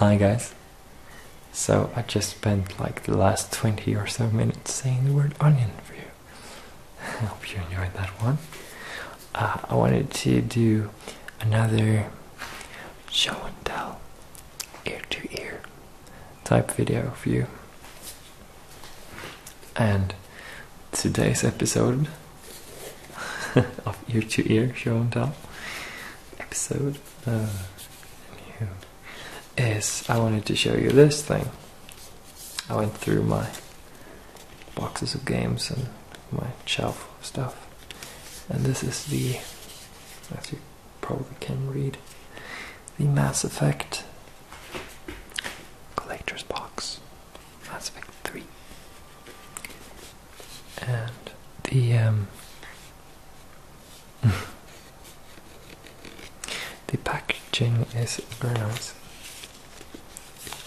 Hi guys. So I just spent like the last 20 or so minutes saying the word onion for you. I hope you enjoyed that one. Uh, I wanted to do another show and tell, ear to ear type video for you. And today's episode of ear to ear show and tell episode uh, is I wanted to show you this thing. I went through my boxes of games and my shelf of stuff. And this is the, as you probably can read, the Mass Effect Collector's Box. Mass Effect 3 and the um, the packaging is very nice.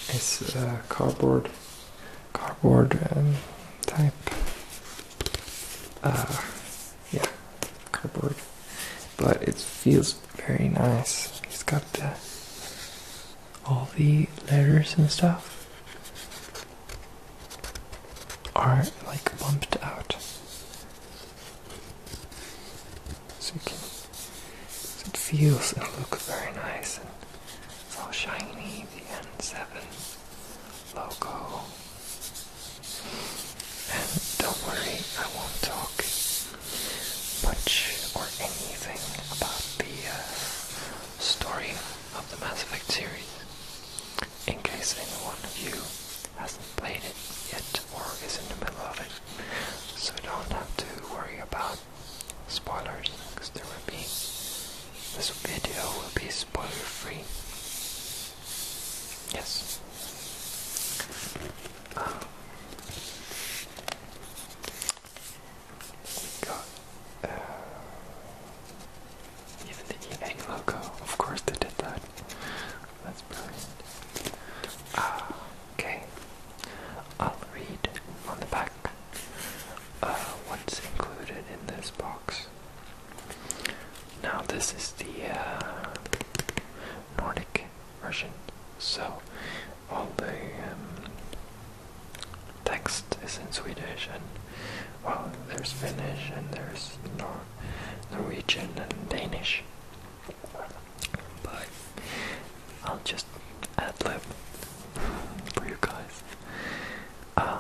It's cardboard, cardboard um, type. Uh, yeah, cardboard, but it feels very nice. It's got all the letters and stuff are like bumped out. So, it feels and looks very nice and it's all shiny, the N7 logo. And don't worry, I won't talk much or anything about the uh, story of the Mass Effect series in case any one of you hasn't played it yet or is in the middle of it, so don't have to worry about spoilers, because there will be this video will be spoiler free. Yes. Um, even the Yang logo, of course they did that. That's brilliant. Ah, okay, I'll read on the back uh, what's included in this box. Now this is the uh, Nordic version, so all the um, text is in Swedish and well, there's Finnish and there's Nor Norwegian and Danish. But I'll just ad lib for you guys. Um,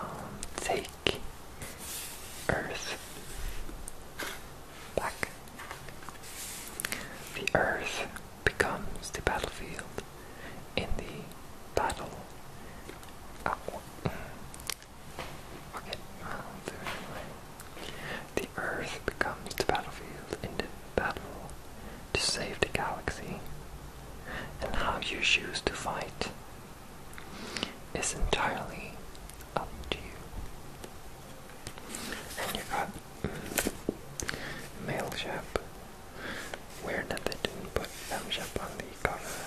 take Earth back. The Earth becomes the battlefield in the battle the Earth becomes the battlefield in the battle to save the galaxy, and how you choose to fight is entirely up to you. And you got mm, Mailchimp, Weird that they didn't put Femship on the cover.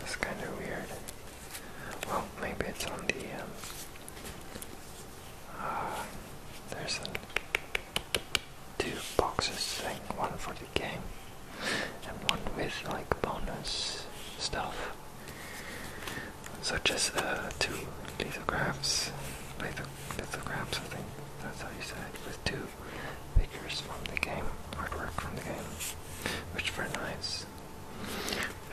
That's kind of weird. Well, maybe it's on the. Um, uh, there's two boxes thing, one for the game, and one with like bonus stuff, such uh, as two lithographs, litho lithographs I think that's how you say with two figures from the game, artwork from the game, which for nice.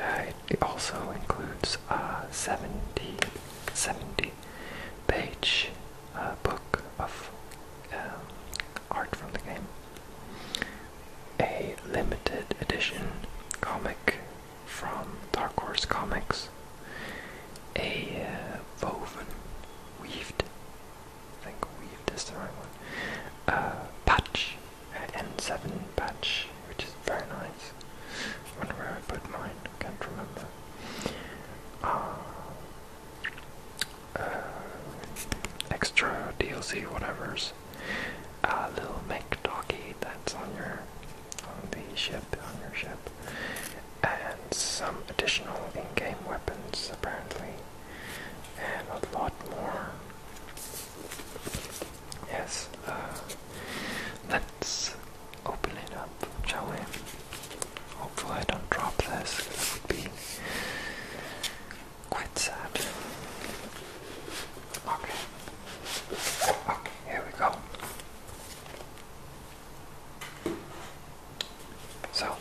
Uh, it also includes a uh, 70, 70 page uh, book of um, art from the game, a limited edition comic from Dark Horse Comics, a woven, weaved I think weaved is the right one. Uh, patch, uh, N7 patch, which is very nice. I wonder where I put mine, I can't remember. Uh, uh extra DLC, whatever's. Uh, little mech that's on your, on the ship, on your ship. And some additional in-game weapons, apparently and a lot more. Yes, uh, let's open it up, shall we? Hopefully, I don't drop this, It would be quite sad. Okay, okay, here we go. So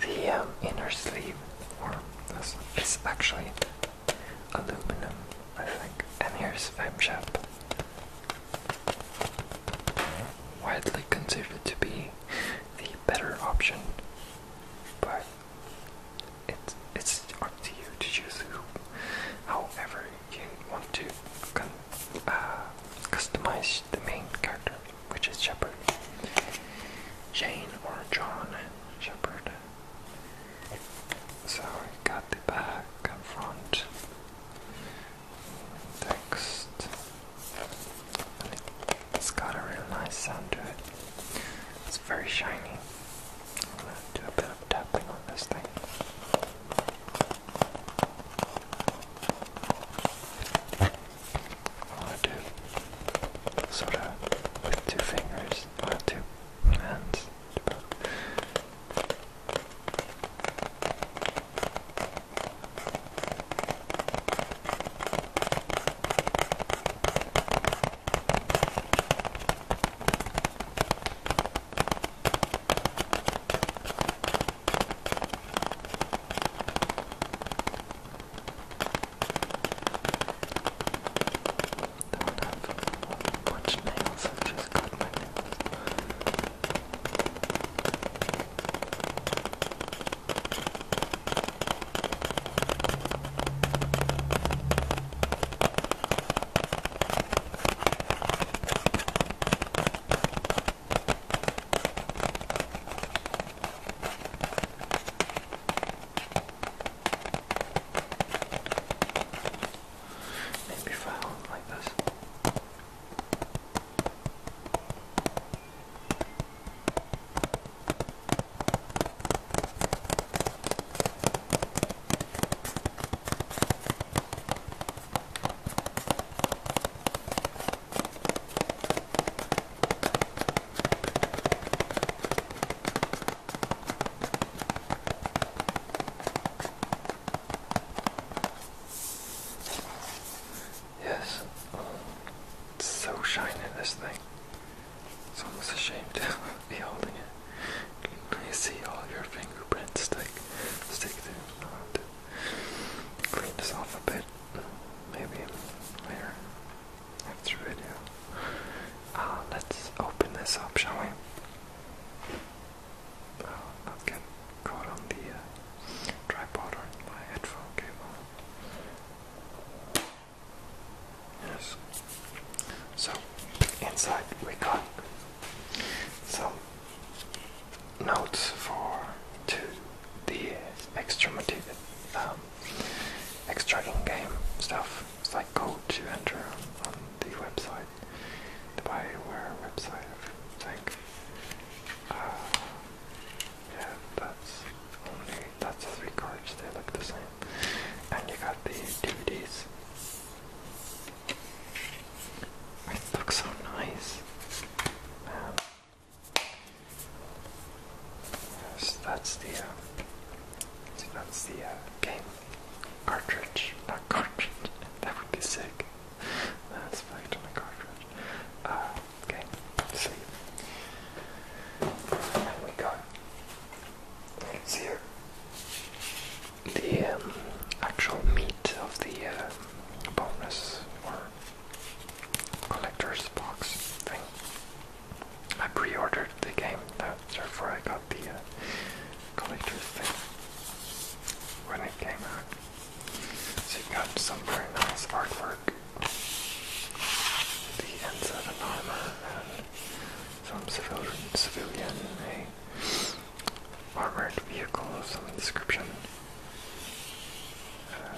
the um, inner sleeve, or this, is actually aluminum, I think. And here's FemShep, widely considered to be the better option, but it's it's up to you to choose who, however you want to uh, customize the main character, which is Shepard. Jane or John Shepard. So we got the back and front text. it's got a really nice sound to it. It's very shiny. I'm gonna do a bit of tapping on this thing. I want to do sort of with two fingers, or uh, two hands. Don't have much nails, I've just got my nails. Thank Maybe if I hold it like this. Yes, it's so shiny this thing. It's almost ashamed to be holding it. You see all your fingerprints stick stick through clean this off a bit, maybe later after video. Uh, let's open this up, shall we? Uh, not get caught on the uh, tripod or my headphone cable. Yes. So inside we got some notes for to the um, extra motive, um, game stuff. It's like code to enter on the website, the Bioware website, think. Uh, yeah, that's only that's three cards. They look the same, and you got the DVDs. It looks so nice. Yes, that's the uh, that's the uh, game cartridge, not cartridge. that would be sick. That's back on a cartridge. Uh, okay, let And we got. let here the um, actual meat of the uh, bonus or collector's box thing. I pre-ordered the game, therefore I got the uh, collector's thing when it came out. So you got some very nice artwork. The ends of an armor and some civilian, civilian a eh, armored vehicle of some description. Uh,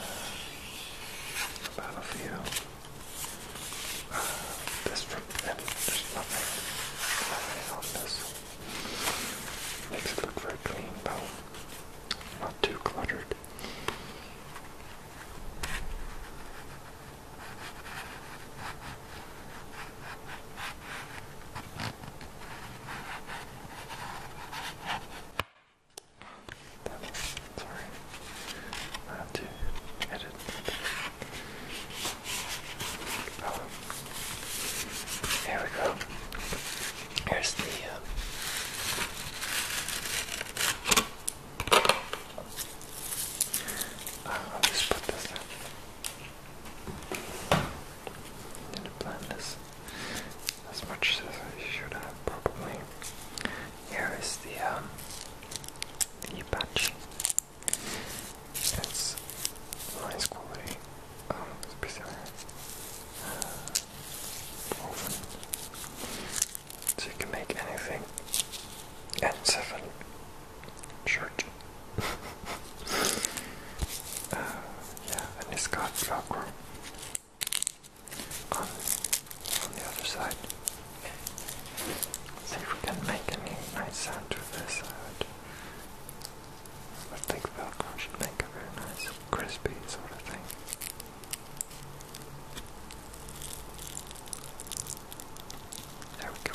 battlefield. Uh, this from and there's nothing on this. Makes it look very clean though. Not too cluttered. Sorry, I have to edit. Oh, here we go. Here's the. Um, I'll just put this didn't plan this as much as I should have probably. Here is the um, the patch. It's nice quality. Um, uh, so you can make anything. N7 shirt. Uh, yeah, and it's got Velcro on, the other side. Let's see if we can make a nice sound to this side. I think Velcro should make a very nice, crispy sort of thing. There we go,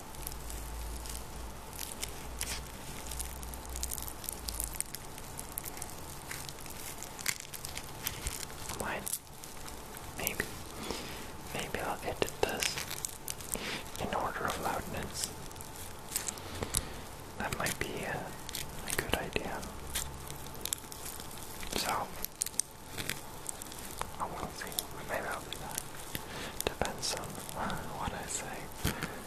Mine. Maybe. Maybe I'll edit this in order of loudness. That might be a, good idea. So, I will see. Maybe I'll do that. Depends on what I say.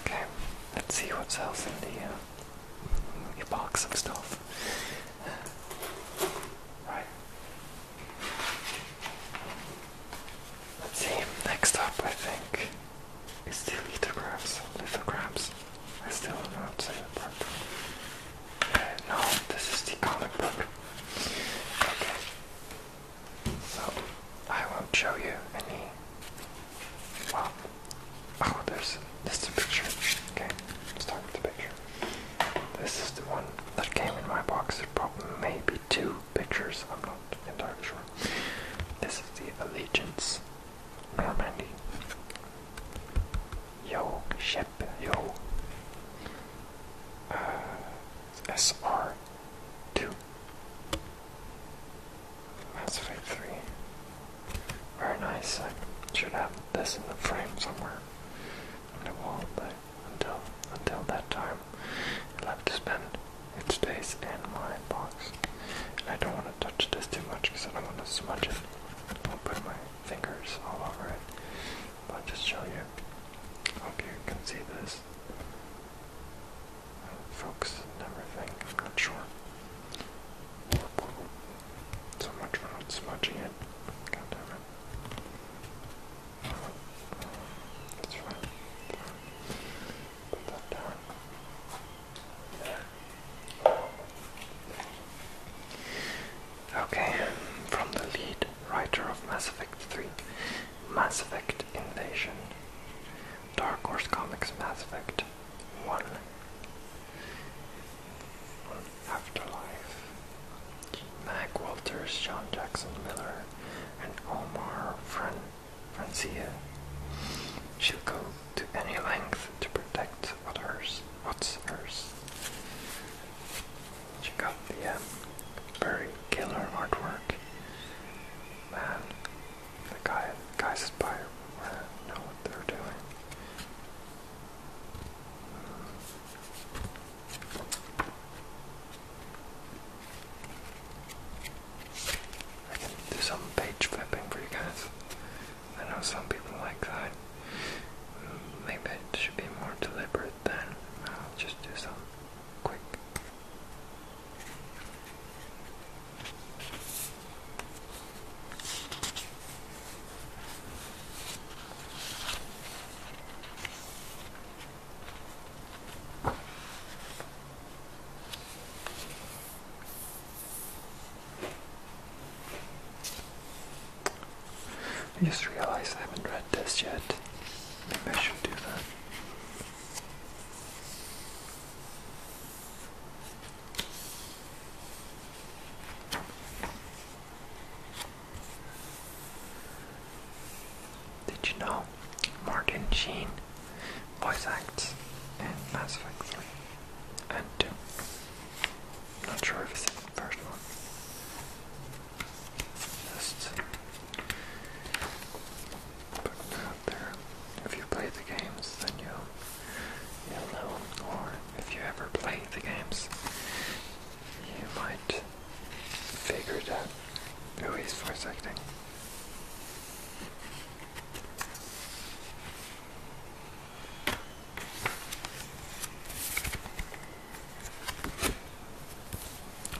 Okay, let's see what else in the, uh, box of stuff. right. Let's see. Next up, I think it's still lithographs, lithographs. I still don't know how to say that uh, no, this is the comic book. Okay. So, I won't show you any. Well, oh, there's this is a picture. Okay, talk about the picture. This is the one that came in my box. There's probably maybe two pictures. I'm not entirely sure. This is the Allegiance Normandy. Yo, ship, yo. Uh, SR two. Mass three. Very nice. should have this in the frame somewhere on the wall, but until until that time, i to spend it stays in my box. And I don't want to touch this too much because I don't want to smudge it. I'll put my fingers all over it. But I'll just show you. Hope you can see this. Focus and everything. I'm not sure. So much for not smudging it. God damn it. That's fine. Put that down. Okay, from the lead writer of Mass Effect 3, Mass Effect Invasion, Dark Horse Comics Mass Effect 1, Afterlife, Mac Walters, John Jackson Miller, and Omar Friend. Francia. She'll go to any length to protect what hers, what's hers. She got the um, very killer artwork. Man, the guy, guys at Spire uh, know what they're doing. I can do some page flipping for you guys. I know some people like that. Maybe it should be more deliberate than I'll uh, just do some quick. I just realized I haven't read this yet. Maybe I should do that. Did you know Martin Sheen voice acts and Mass Effect 3 and 2. Not sure if it's the first one. Just putting it there. If you play the games, then you'll, you'll know. Or if you ever play the games, you might figure it out who is voice acting.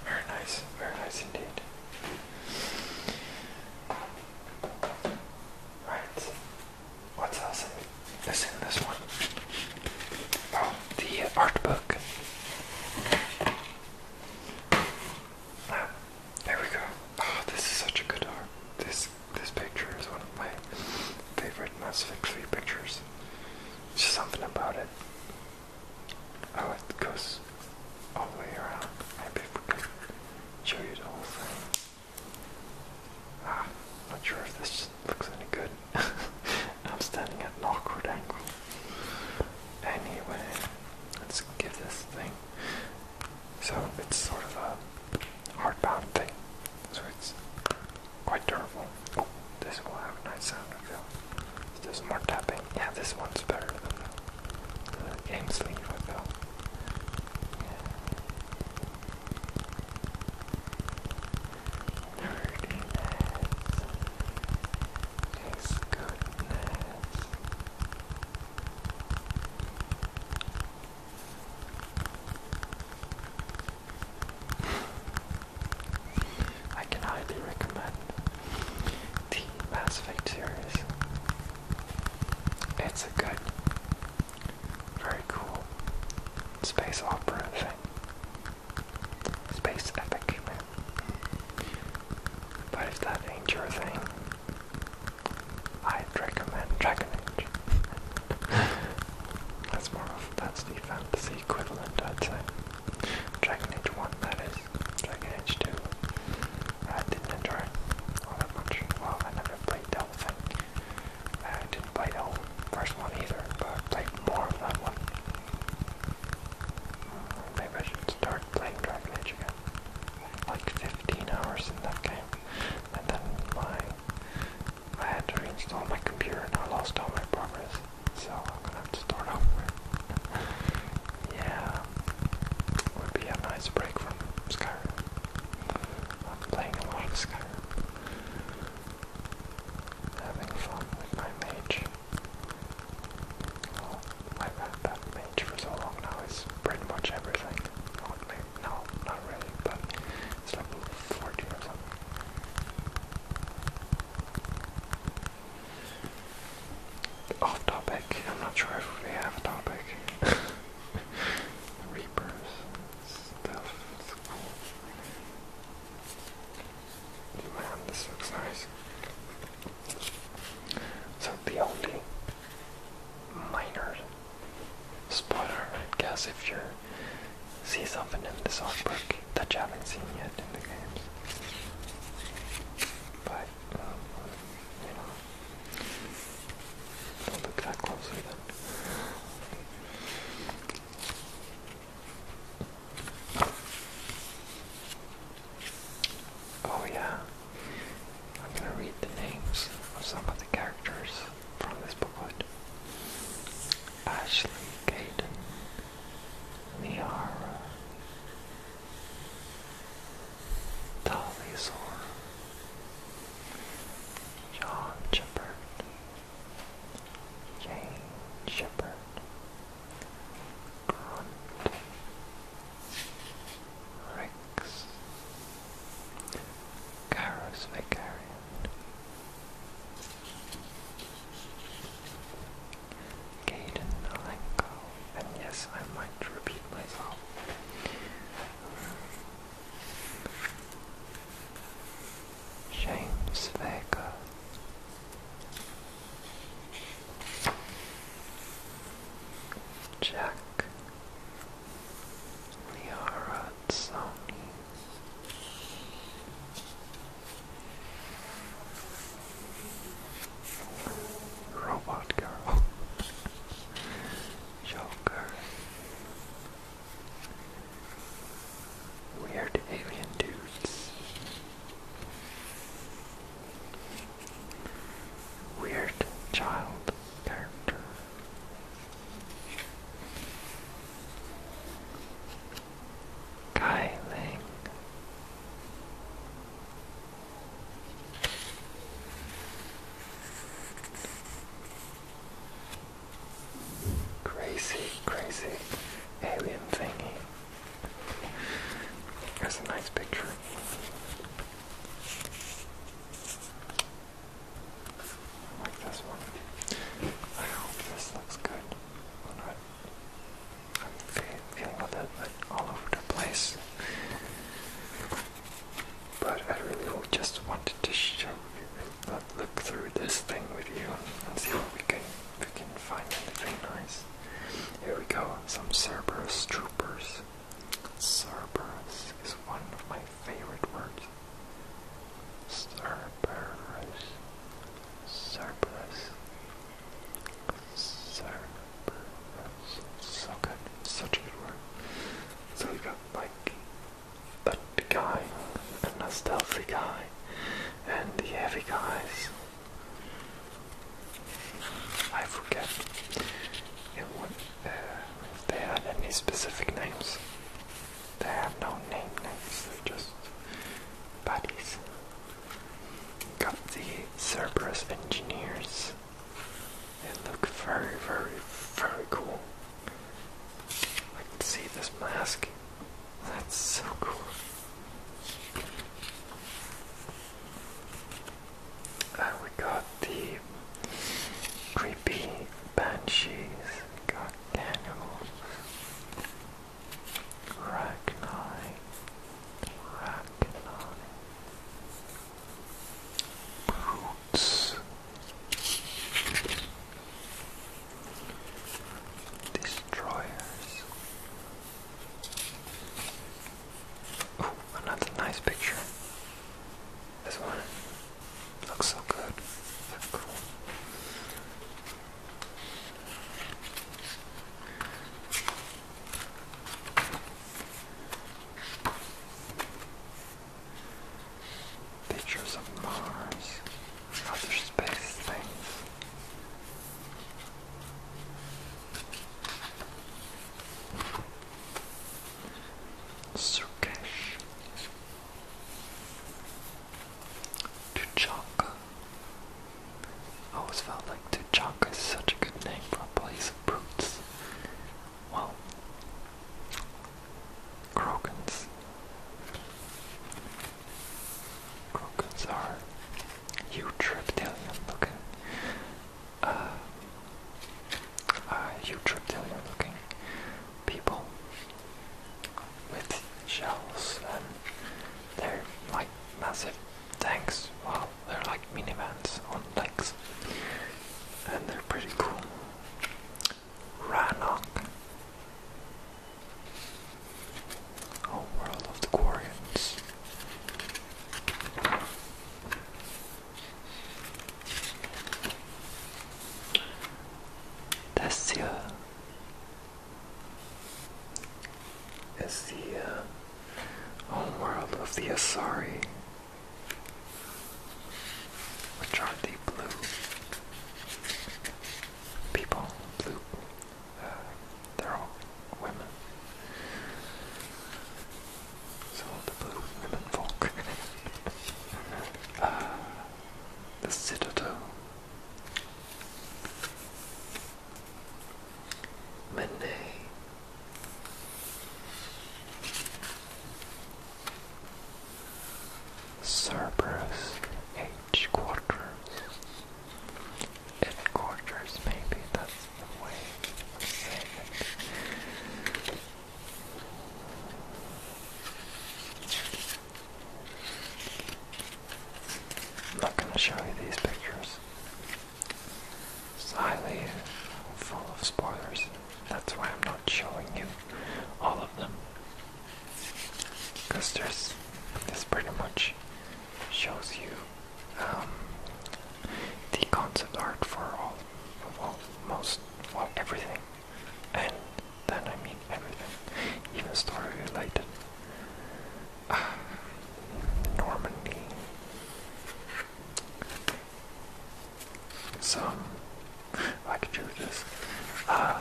Very nice, very nice indeed. Right, what's else is in this one? Oh, the art book there we go. Oh, this is such a good art. This this picture is one of my favorite Mass Effect 3 pictures. something about it. Oh, it goes all the way around. Maybe if we could show you the whole thing. Ah, not sure if this looks any good. I'm standing at an awkward angle. Anyway, let's give this thing so it's sort of a hardbound thing. So it's quite durable. Oh, this will have a nice sound reveal. So there's more tapping. Yeah, this one's better than the, the game sleeve reveal. Yeah. Nerdiness. I can highly recommend the Mass Effect series. It's a good, very cool space opera thing. Space epic, man. But if that ain't your thing, I'd recommend Dragon Age. that's more of that's the fantasy equivalent, I'd say. Dragon Age One, that is. Dragon Age Two, I didn't enjoy all that much. Well, I never played the whole I didn't play the first one either, but I played more of that one. Maybe I should start playing Dragon Age again. Like 15 hours in that game. And then my I had to reinstall my computer and I lost all my progress. So I'm gonna have to start over. yeah. Would be a nice break from Skyrim. I'm playing a lot of Skyrim. Having fun with my mage. I've had that page for so long now, it's pretty much everything. no, not really, but it's like 40 something. Off topic, I'm not sure if we have a topic. Reapers, stuff, it's cool. Man, this looks nice. So the only minor spoiler, I guess, if you see something in this artwork that you haven't seen yet in the games. But, um, you know, don't look that closely Oh yeah. I'm gonna read the names of some of the characters from this booklet. Ashley, Caden, Niara, Talizor, John Shepard, Jane Shepard, Grunt, Rex, Garrus Vicarian, Alenko, and yes, I might repeat myself. James Vega, Jack, Liara, Sony. Robot Girl, Joker, Weird Alien Dudes, Weird child character. Kai Crazy, crazy alien thingy. That's a nice picture. Like this one. I hope this looks good. I'm feeling a little bit all over the place. But I really just wanted to show you, look through this thing with you and see what we can, if we can find anything nice. Here we go, some Cerberus troopers. Cerberus is one of my favorite words. Cerberus. Cerberus. Cerberus. So good. Such a good word. So we got like a guy, and a stealthy guy, and the heavy guys. I forget uh, they had any specific names. They have no name names, they're just buddies. Got the Cerberus engineers. They look very, very, very cool. I can see this mask. That's so cool. And uh, we got the creepy banshees, got cannibals, Ragnar, Ragnar, brutes. Destroyers, another nice picture. This one looks so good. cool. Pictures of Mars, other space things. Surkesh, Tuchanka. always felt like Tuchanka is such a good name for a place of brutes. Well, Krogans. Krogans are huge reptilian looking uh, uh, huge reptilian looking people with shells and they're like massive tanks. Well, they're like minivans on legs. And they're pretty cool. Ranok. Oh, World of the Quarians. This is the uh, home world of the Asari, which are the blue people, blue, uh, they're all women. So the blue women folk. Uh, the citadel. Manet. Cerberus H quarters. Headquarters, maybe that's i I'm not going to show you these pictures. It's highly full of spoilers. That's why I'm not showing you all of them. Because this pretty much shows you um, the concept art for all, well, most, well, everything, and then I mean everything, even story related. Normandy. Some, I could do this. Uh, are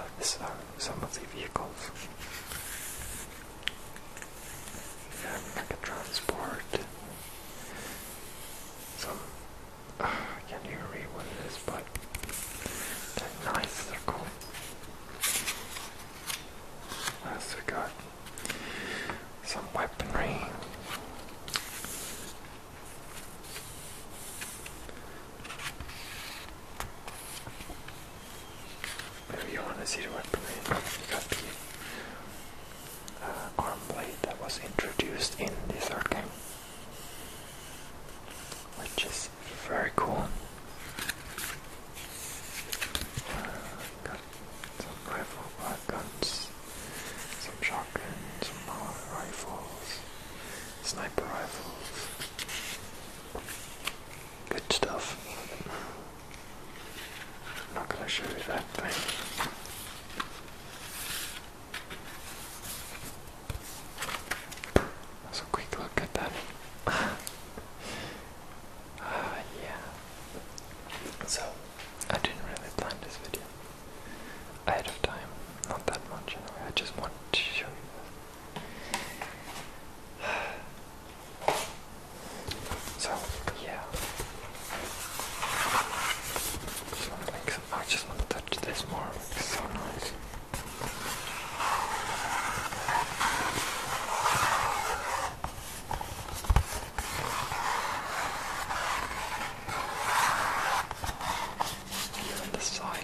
uh, some of the vehicles. like transport, some, I can't even read what it is, but they're nice, they're cool. That's a got some weaponry. Maybe you want to see the weaponry uh, arm blade that was introduced in the third game, which is very cool. Uh, got some rifles, some shotguns, some power rifles, sniper rifles. Good stuff. I'm not going to show you that thing. let a quick look at that. Ah, yeah. So, I didn't really plan this video ahead of time. Not that much, anyway. I just wanted to show you this. So yeah. I just wanna touch this more. It's so nice. the side.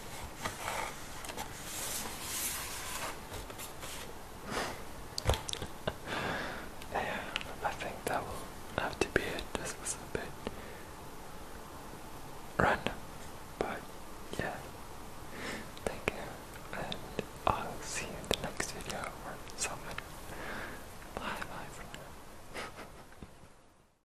yeah, I think that will have to be it. This was a bit random, but yeah. Thank you, and I'll see you in the next video or something. Bye bye